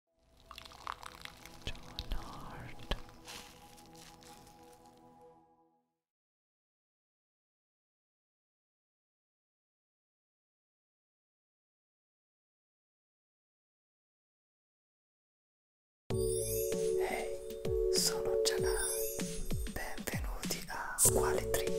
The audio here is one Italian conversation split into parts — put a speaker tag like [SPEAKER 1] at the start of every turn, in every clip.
[SPEAKER 1] Donard Hey, sono Gianna. Benvenuti a Quali Trick.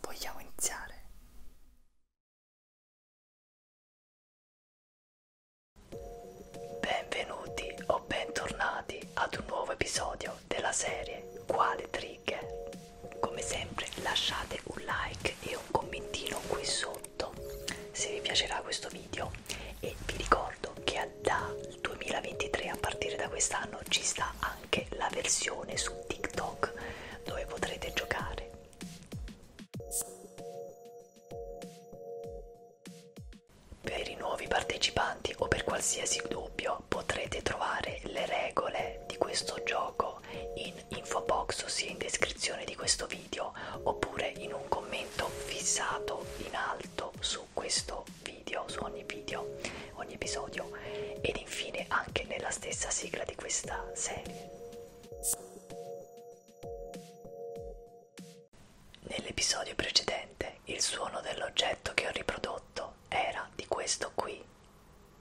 [SPEAKER 1] Vogliamo iniziare? Benvenuti o bentornati ad un nuovo episodio della serie Quale Tri righe come sempre lasciate un like e un commentino qui sotto se vi piacerà questo video e vi ricordo che dal 2023 a partire da quest'anno ci sta anche la versione su TikTok dove potrete giocare per i nuovi partecipanti o per qualsiasi dubbio potrete trovare le regole di questo gioco loro in info box ossia in descrizione di questo video oppure in un commento fissato in alto su questo video, su ogni video, ogni episodio ed infine anche nella stessa sigla di questa serie. Nell'episodio precedente il suono dell'oggetto che ho riprodotto era di questo qui.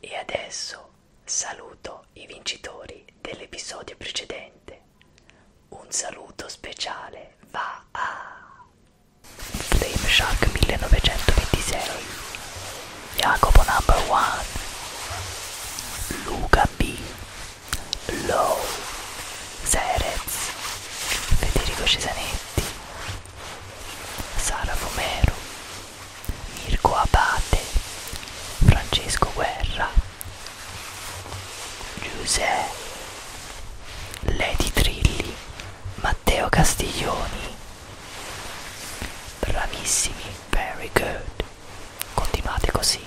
[SPEAKER 1] E adesso saluto i vincitori dell'episodio precedente. Un saluto speciale va a Dave Shark 1926, Jacopo Number One, Luca B, Low, Serez, Federico Cesanetti, Sara Fomero, Mirko Abate, Francesco Guerra, Giuseppe, Lady Trilli, Matteo Castiglioni. Bravissimi, very good. Continuate così.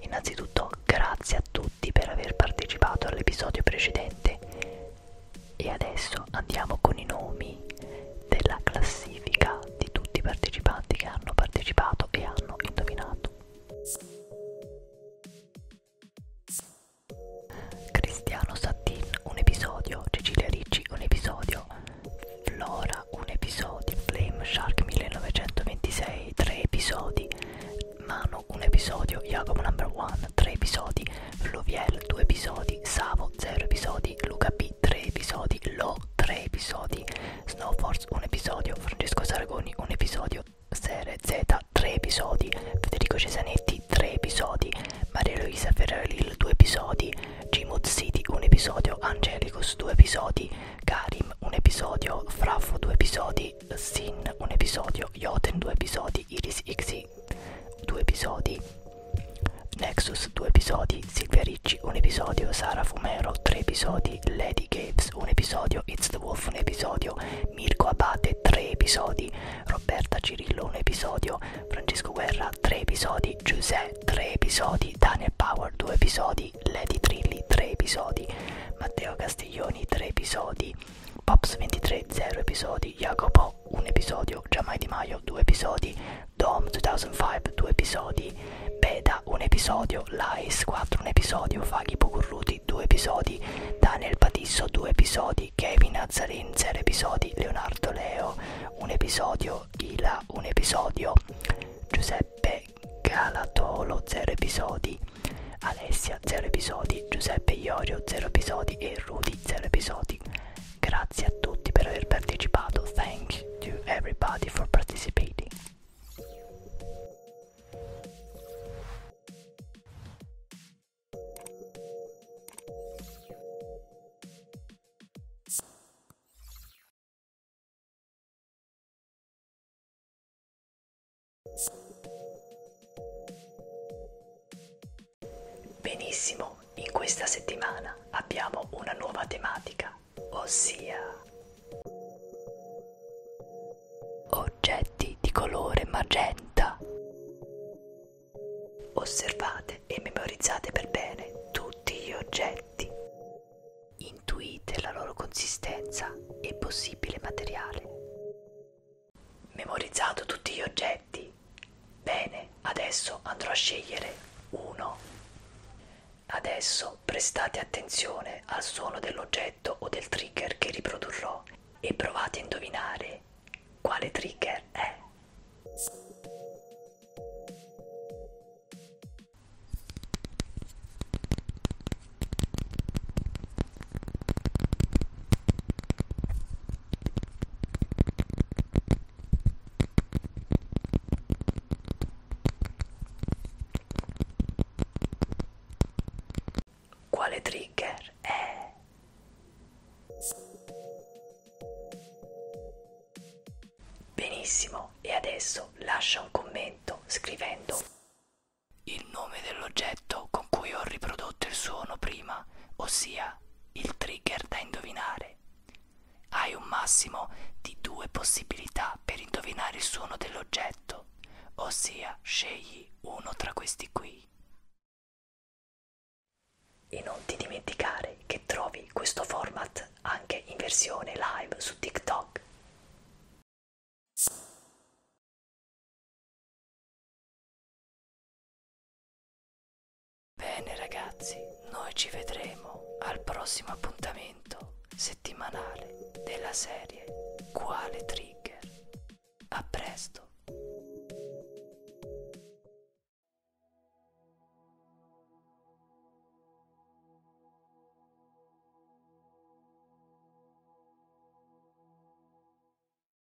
[SPEAKER 1] Innanzitutto grazie a tutti per aver partecipato all'episodio precedente e adesso andiamo con i nomi della classifica di tutti i partecipanti che hanno partecipato e hanno indovinato. Cristiano Sattin un episodio, Cecilia Ricci un episodio, Flora un episodio, Flame Shark 1926 tre episodi, Mano un episodio, Jacopo Number One tre episodi, Luviel 2 episodi, Savo 0 episodi, Luca P 3 episodi, Lo 3 episodi, Snowforce 1 episodio, Francesco Sargoni 1 episodio, Sere Z 3 episodi, Federico Cesanetti 3 episodi, Maria Luisa Ferraril 2 episodi, Gmod City 1 episodio, Angelicus 2 episodi, Karim 1 episodio, Fraffo 2 episodi, Sin 1 episodio, Joten 2 episodi, Iris XY Ricci due episodi Nexus due episodi Silvia Ricci un episodio Sara Fumero tre episodi Lady Gaves un episodio It's the Wolf un episodio Mirko Abate tre episodi Roberta Cirillo un episodio Francesco Guerra tre episodi Giuseppe tre episodi Daniel Power due episodi Lady Trilli tre episodi Matteo Castiglioni tre episodi Pops 23 0 episodi Jacopo un episodio, Giamai Di Maio due episodi, Dom 2005 due episodi, Beda un episodio, Lais 4 un episodio, Faghi Pocurruti due episodi, Daniel Patisso due episodi, Kevin Azzarin 0 episodi, Leonardo Leo un episodio, Ila un episodio, Giuseppe Galatolo 0 episodi, Alessia 0 episodi, Giuseppe Iorio 0 episodi e Rudy 0 episodi. Grazie a tutti per aver partecipato. Thank you to everybody for participating. Benissimo, in questa settimana abbiamo una nuova tematica, ossia oggetti di colore magenta. Osservate e memorizzate per bene tutti gli oggetti. Intuite la loro consistenza e possibile materiale. Memorizzato tutti gli oggetti. Bene, adesso andrò a scegliere uno. Adesso prestate attenzione al suono dell'oggetto o del trigger che riprodurrò e provate a indovinare quale trigger è. Quale trigger è? Benissimo, e adesso lascia un commento scrivendo il nome dell'oggetto con cui ho riprodotto il suono prima, ossia il trigger da indovinare. Hai un massimo di due possibilità per indovinare il suono dell'oggetto, ossia scegli uno tra questi qui. E non ti dimenticare che trovi questo format anche in versione live su TikTok. Bene ragazzi, noi ci vedremo al prossimo appuntamento settimanale della serie Quale Trigger. A presto!